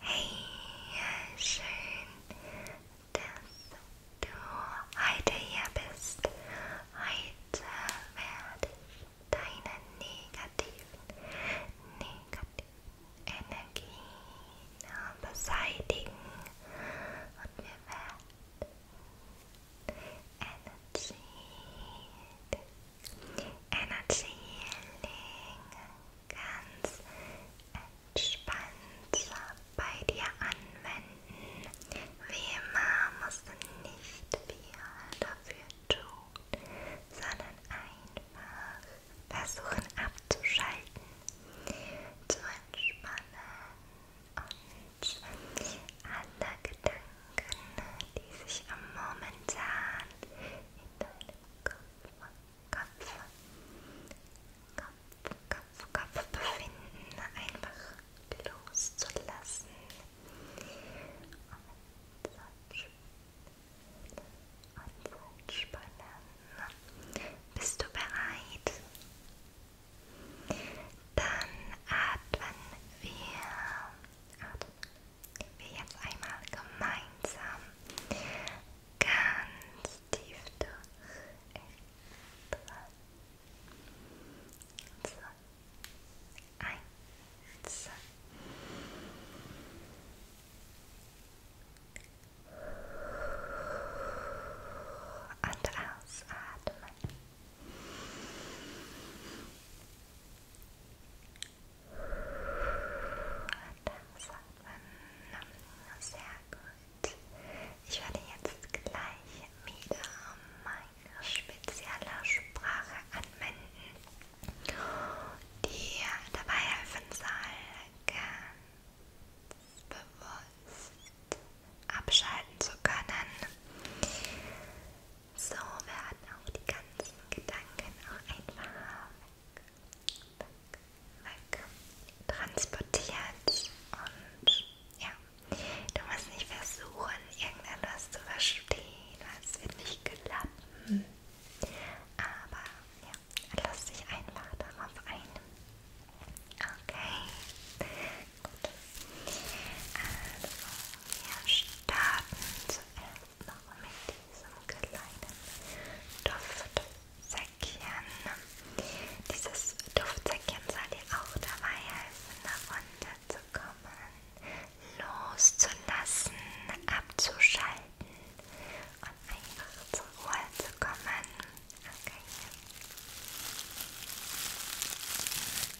Hey, schön, dass du heute hier bist. Heute werde deine negativen, negativen Energien Energy Healing ganz entspannt bei dir anwenden. Wie immer musst du nicht viel dafür tun, sondern einfach versuchen abzuschalten, zu entspannen und alle Gedanken Gedanken, die sich am momentan in deinem Kopf, Kopf, Kopf, Kopf, Kopf befinden, einfach loszulassen. Und entspannen. Bist du bereit? Dann atmen wir atmen wir jetzt einmal gemeinsam ganz tief durch. Drei, zwei, eins. Und ausatmen. Das hat man sehr gut. Ich werde jetzt gleich wieder meine spezielle Sprache anwenden, die dabei helfen soll, ganz bewusst abschalten zu können. So werden auch die ganzen Gedanken auch einfach weg, weg transportiert und ja, du musst nicht versuchen, irgendetwas zu verstehen, weil es wird nicht klappen. Aber ja, lass dich einfach darauf ein. Okay, gut. Also, wir starten zuerst noch mit diesem kleinen Duftsäckchen. Dieses Duftsäckchen soll dir auch dabei helfen, davon zu kommen, loszulassen, abzuschalten und einfach zur Ruhe zu kommen. Okay.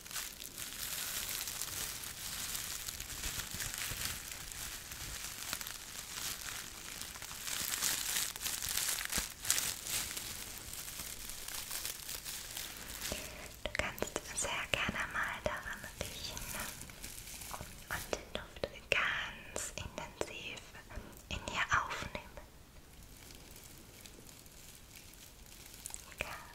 Du kannst sehr gerne mal daran riechen und den Duft ganz intensiv in dir aufnehmen. Ganz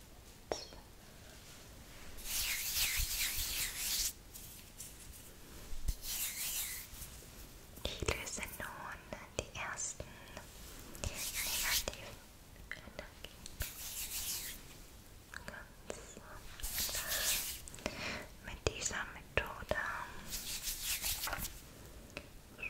Ich löse nun die ersten negativen Energien ganz einfach mit dieser Methode. Rusch, rusch,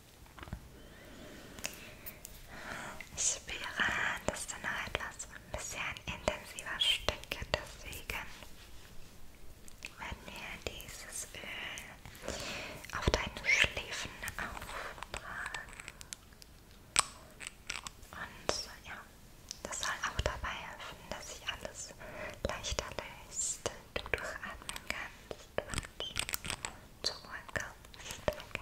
Ich spüre, dass du noch etwas bisher intensiver Stücke, deswegen werden wir dieses Öl auf deine Schläfen auftragen. Und ja, das soll auch dabei helfen, dass sich alles leichter löst, du durchatmen kannst und zur Ruhe kommst. Okay.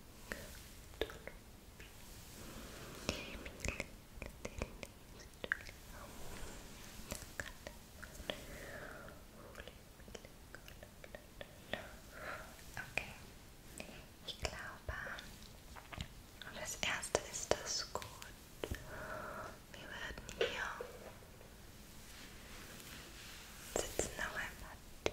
Okay, ich glaube, das erste ist das gut. Wir werden hier sitzen noch ein paar Tee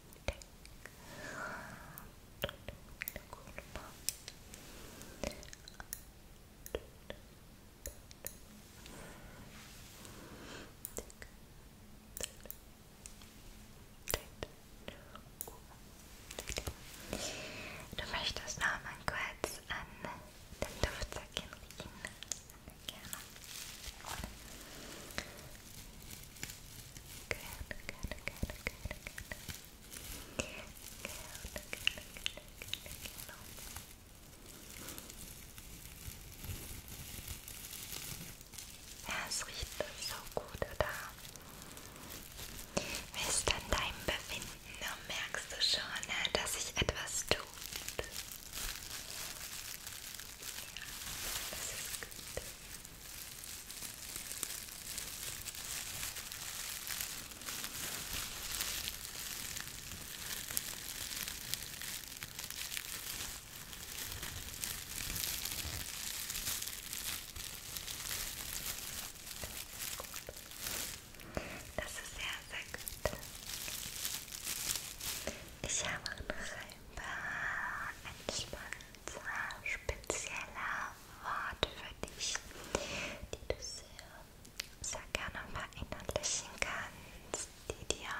Du möchtest noch mal kurz an den Duftsäckchen riechen. Gerne. Gerne, gerne, gerne, gerne, gerne. Gerne, gerne, gerne, gerne, gerne. Ja, es riecht so gut, oder? Wie ist dann dein Befinden? Merkst du schon, äh, dass sich etwas tut? Ja, das ist gut. Das ist sehr, sehr gut. Ich habe noch ein paar Entspannungen zwar spezieller Wort für dich, die du sehr, sehr gerne verinnerlichen kannst, die dir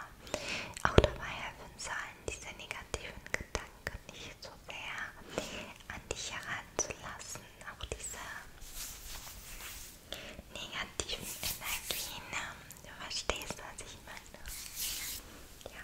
auch dabei helfen sollen, diese negativen Gedanken nicht so sehr an dich heranzulassen, auch diese negativen Energien. Du verstehst, was ich meine. Ja.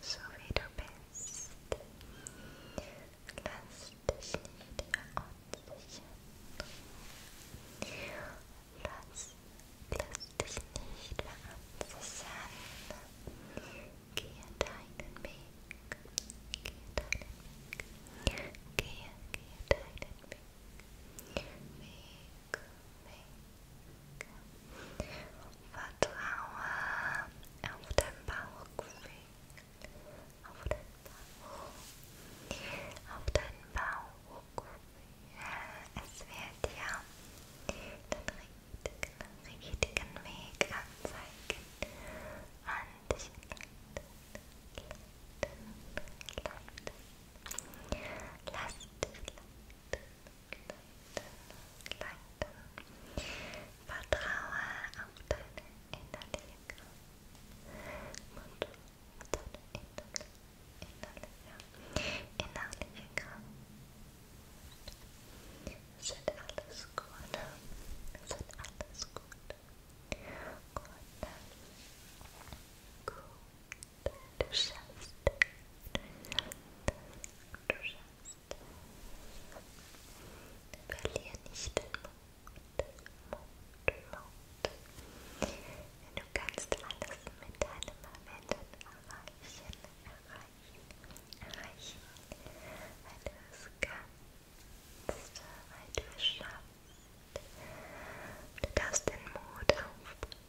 so wie du bist. Lass dich nicht verunsichern. Lass, lass dich nicht verunsichern. Gehe deinen Weg. Gehe deinen Weg. Gehe, gehe deinen Weg. Weg, Weg. Vertraue auf dein Bauchgefühl, auf dein Bauch, auf dein Bauchgefühl. Es wird ja den richtigen, richtigen Weg anzeigen an dich. Lass dich leiten, lass dich leiten, Vertraue auf deine innerliche Kraft. Und auf deine innerliche, innerliche, innerliche Kraft. Es wird alles gut. Es wird alles gut. Gut. Gut. Du schaffst. Du schaffst. Du schaffst. Verlier nicht den Mut, Mut, Mut. Du kannst alles mit deinem Erwähnen erreichen, erreichen, erreichen, weil du es kannst, weil du es schaffst. Du darfst den Mut aufbringen,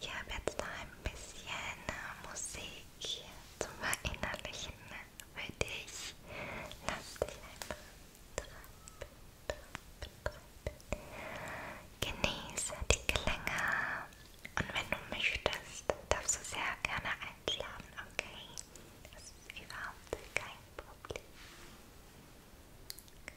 Ich habe jetzt noch ein bisschen äh, Musik zum Verinnerlichen für dich. Lass dich einfach treiben, treiben, treiben. Genieße die Klänge und wenn du möchtest, darfst du sehr gerne einschlafen, okay? Das ist überhaupt kein Problem.